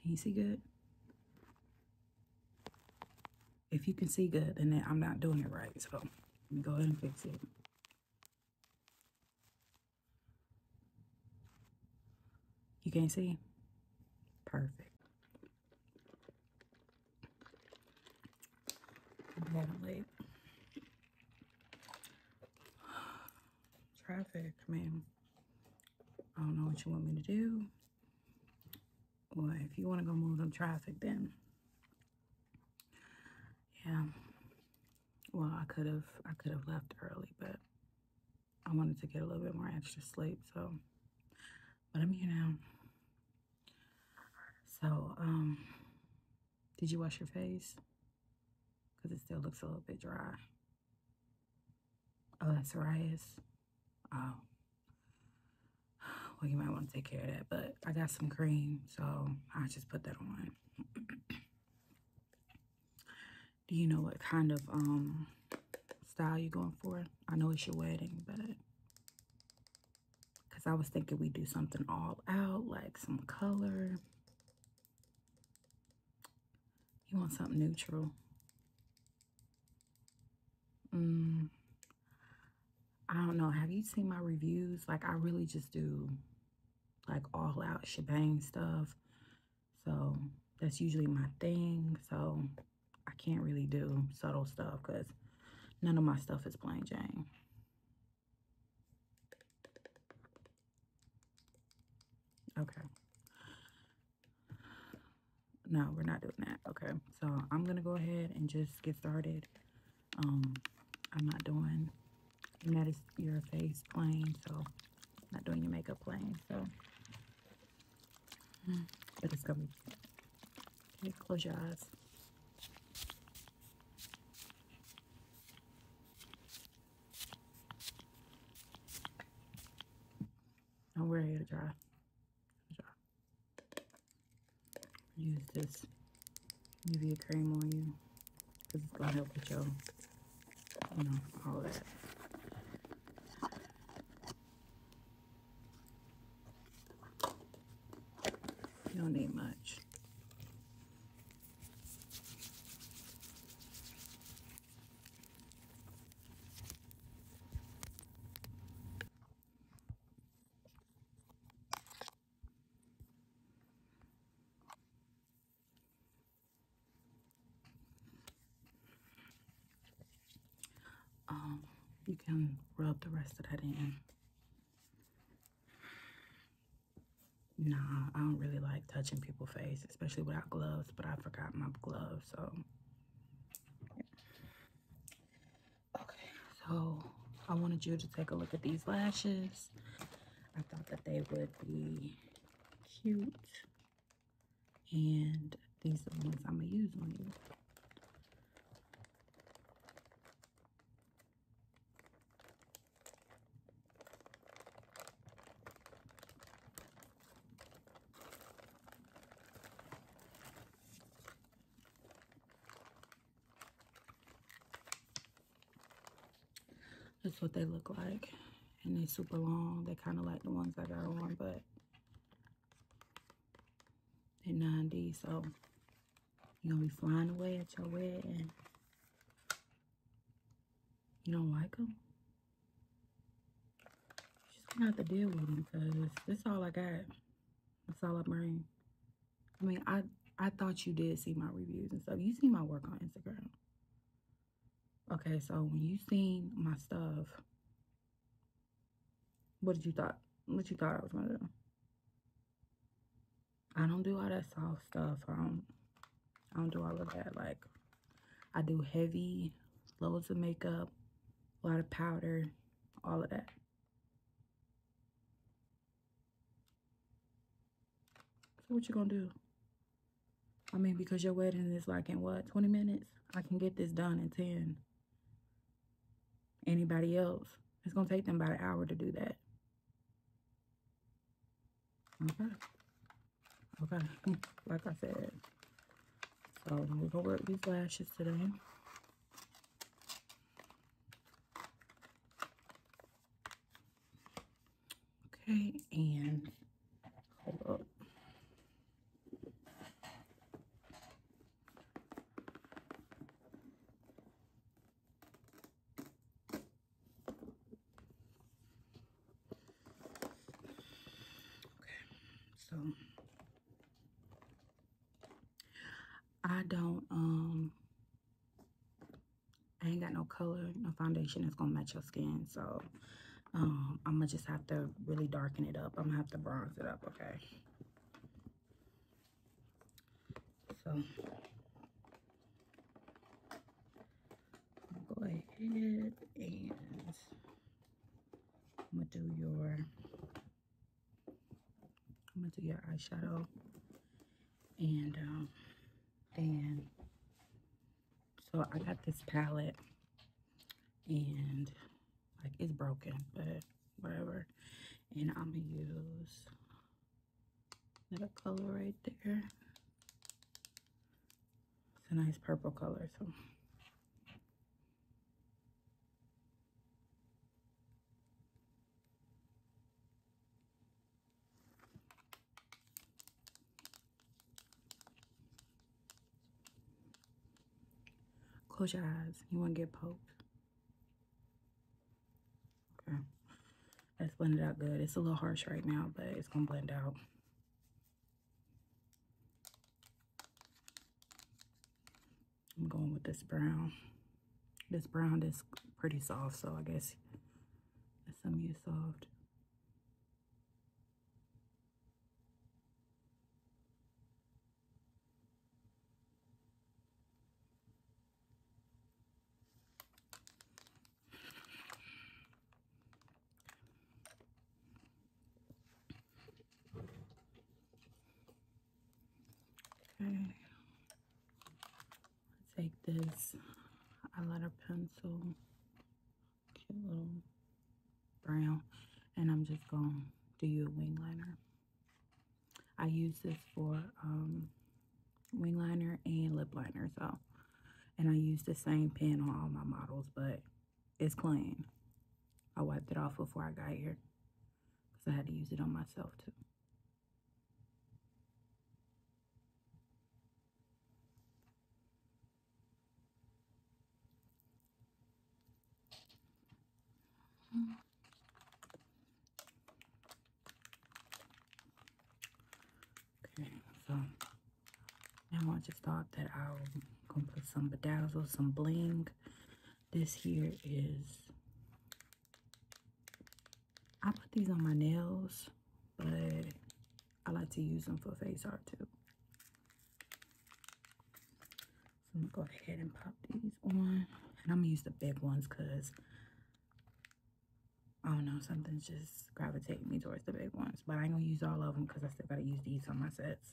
Can you see good? If you can see good, then I'm not doing it right. So let me go ahead and fix it. You can see? Perfect. i traffic, man. I don't know what you want me to do. Well, if you want to go move them traffic, then yeah. Well, I could have I could have left early, but I wanted to get a little bit more extra sleep, so but I'm here now. So, um, did you wash your face? because it still looks a little bit dry. Oh, that's psoriasis. Oh. Well, you might want to take care of that, but I got some cream, so I just put that on. Do you know what kind of um style you're going for? I know it's your wedding, but because I was thinking we do something all out, like some color, you want something neutral. Mm, I don't know. Have you seen my reviews? Like, I really just do, like, all-out shebang stuff. So, that's usually my thing. So, I can't really do subtle stuff because none of my stuff is plain Jane. Okay. No, we're not doing that. Okay. So I'm going to go ahead and just get started. Um, I'm not doing that is your face plain. So not doing your makeup plain. So, but it's going to okay, close your eyes. I'm wearing it to dry. Use this UV cream on you because it's gonna help with your, you know, all that. don't need much. Um, you can rub the rest of that in. No, I don't really like touching people's face, especially without gloves, but I forgot my gloves, so. Okay, so I wanted you to take a look at these lashes. I thought that they would be cute. And these are the ones I'm going to use on you. That's what they look like. And they're super long. They kind of like the ones I got on, but they're 90, so you're gonna be flying away at your wedding. you don't like them. You're just gonna have to deal with them because that's all I got. That's all I bring. I mean, I I thought you did see my reviews and stuff. You see my work on Instagram. Okay, so when you seen my stuff, what did you thought? What you thought I was gonna do? I don't do all that soft stuff. I don't, I don't do all of that. Like, I do heavy, loads of makeup, a lot of powder, all of that. So what you gonna do? I mean, because your wedding is like in what, 20 minutes? I can get this done in 10 anybody else. It's going to take them about an hour to do that. Okay. Okay. Like I said. So we're going to work these lashes today. Okay. And hold up. Okay, so I don't, um, I ain't got no color, no foundation that's gonna match your skin, so um, I'm gonna just have to really darken it up. I'm gonna have to bronze it up, okay? So go ahead and I'm gonna do your I'm gonna do your eyeshadow and um and so I got this palette and like, it's broken, but whatever. And I'm going to use another color right there. It's a nice purple color, so... Close your eyes. You won't get poked. Okay. blend it out good. It's a little harsh right now, but it's going to blend out. I'm going with this brown. This brown is pretty soft, so I guess some of you soft. Okay, take this A eyeliner pencil cute little brown. And I'm just going to do you a wing liner. I use this for um, wing liner and lip liner. So, and I use the same pen on all my models, but it's clean. I wiped it off before I got here because I had to use it on myself too. Okay, so now I just thought that I was gonna put some bedazzles, some bling. This here is I put these on my nails, but I like to use them for face art too. So I'm gonna go ahead and pop these on. And I'm gonna use the big ones because I don't know, something's just gravitating me towards the big ones. But I am gonna use all of them because I still gotta use these on my sets.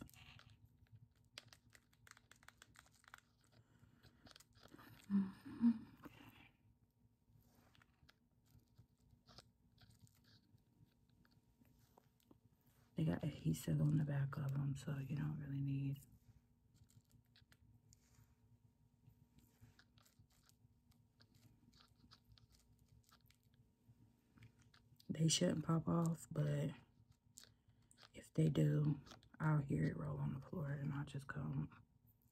They got adhesive on the back of them, so you don't really need they shouldn't pop off, but if they do, I'll hear it roll on the floor and I'll just come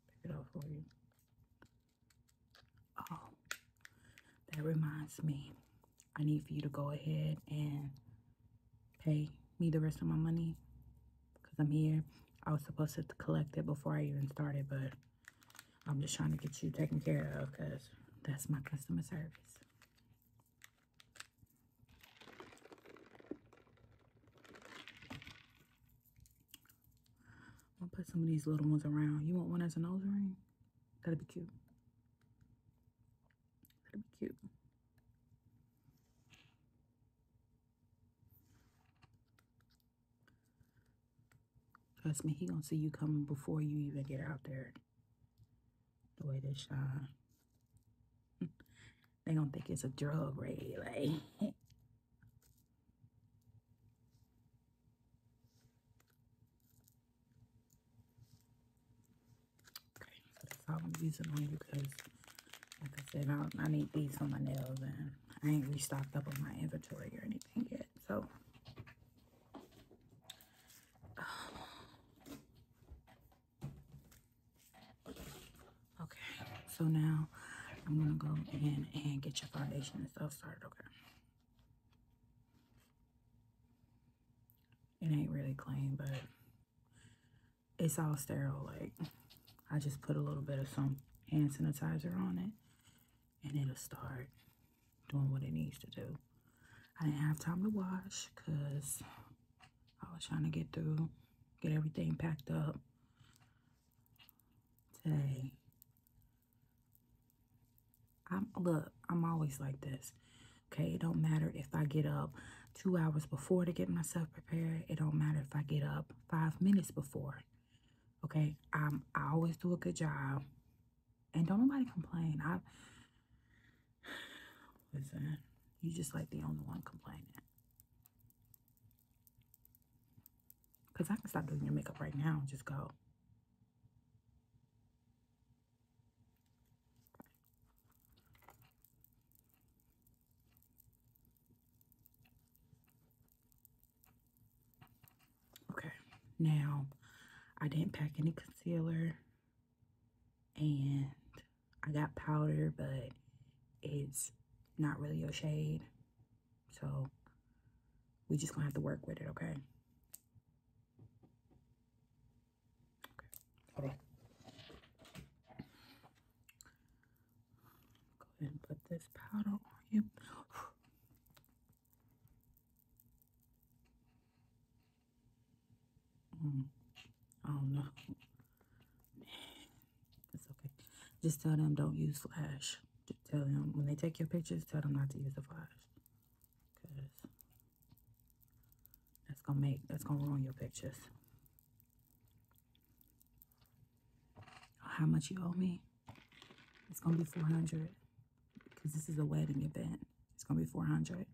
pick it up for you. Oh, that reminds me. I need for you to go ahead and pay me the rest of my money because I'm here. I was supposed to collect it before I even started, but I'm just trying to get you taken care of because that's my customer service. I'm gonna put some of these little ones around. You want one as a nose ring? That'll be cute. That'll be cute. Trust me, he gonna see you coming before you even get out there. The way they shine. they gonna think it's a drug raid, like Okay, so I'm using on because, like I said, I, need these for my nails and I ain't restocked up on my inventory or anything yet. So, okay, so now I'm gonna go in and get your foundation and stuff started, okay? It ain't really clean, but it's all sterile. Like, I just put a little bit of some hand sanitizer on it, and it'll start doing what it needs to do. I didn't have time to wash because I was trying to get through, get everything packed up today. I'm look, I'm always like this. Okay, it don't matter if I get up two hours before to get myself prepared. It don't matter if I get up five minutes before. Okay, I'm I always do a good job. And don't nobody complain. I listen, you are just like the only one complaining. Because I can stop doing your makeup right now and just go. Okay, now I didn't pack any concealer and I got powder, but it's not really your shade. So we just gonna have to work with it, okay? Okay, Go ahead and put this powder on I don't know. It's okay. Just tell them don't use flash. tell them when they take your pictures, tell them not to use the flash. Because that's gonna make that's gonna ruin your pictures. How much you owe me? It's gonna be 400 because this is a wedding event. It's gonna be 400.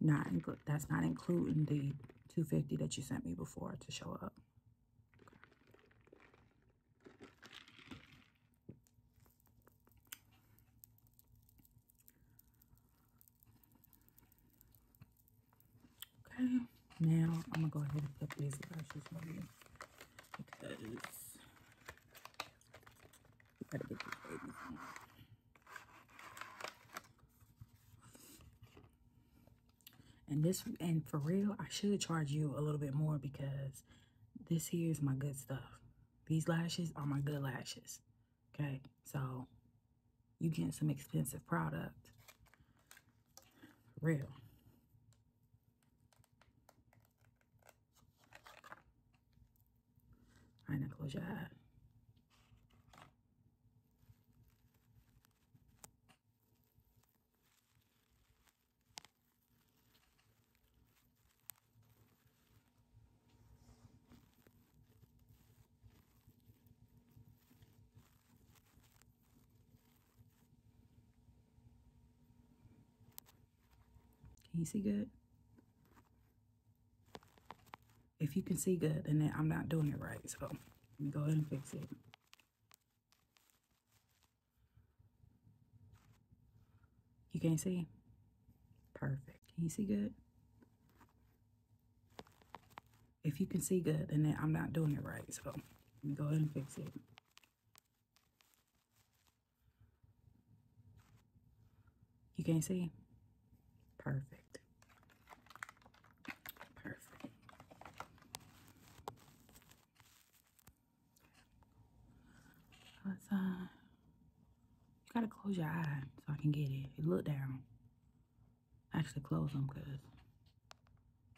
Not include that's not including the 250 that you sent me before to show up. Okay. now I'm gonna go ahead and put these lashes on you because you gotta get these babies on. And this, and for real, I should charge you a little bit more because this here is my good stuff. These lashes are my good lashes. Okay, so you getting some expensive product. real. All right, now close your eye. Can you see good? If you can see good, then I'm not doing it right. So let me go ahead and fix it. You can't see? Perfect. Can you see good? If you can see good, then I'm not doing it right. So let me go ahead and fix it. You can't see? Perfect. Perfect. let uh, you gotta close your eyes so I can get it. look down. Actually close them because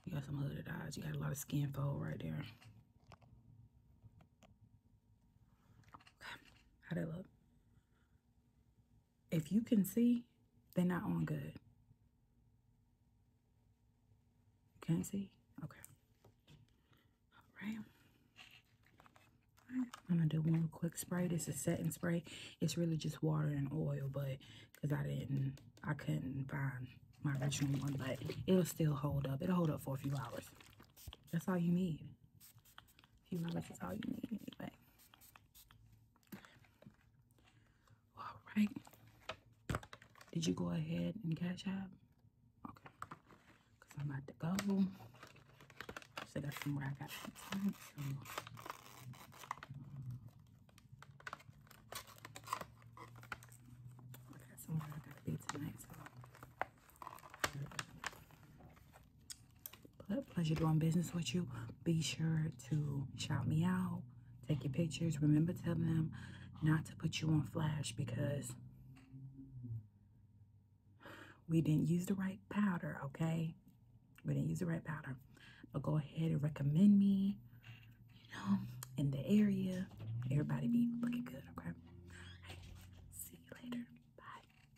you got some hooded eyes. You got a lot of skin fold right there. How'd it look? If you can see, they're not on good. You can't see? Okay. All All right. I'm going to do one quick spray. This is setting spray. It's really just water and oil, but because I didn't, I couldn't find my original one, but it'll still hold up. It'll hold up for a few hours. That's all you need. A few hours is all you need anyway. All right. Did you go ahead and cash out? Okay. Because I'm about to go. So that's from where I got that to be tonight, pleasure doing business with you, be sure to shout me out, take your pictures. Remember, telling them not to put you on flash because we didn't use the right powder, okay? We didn't use the right powder. But go ahead and recommend me, you know, in the area. Everybody be looking good, okay? see you later. Bye.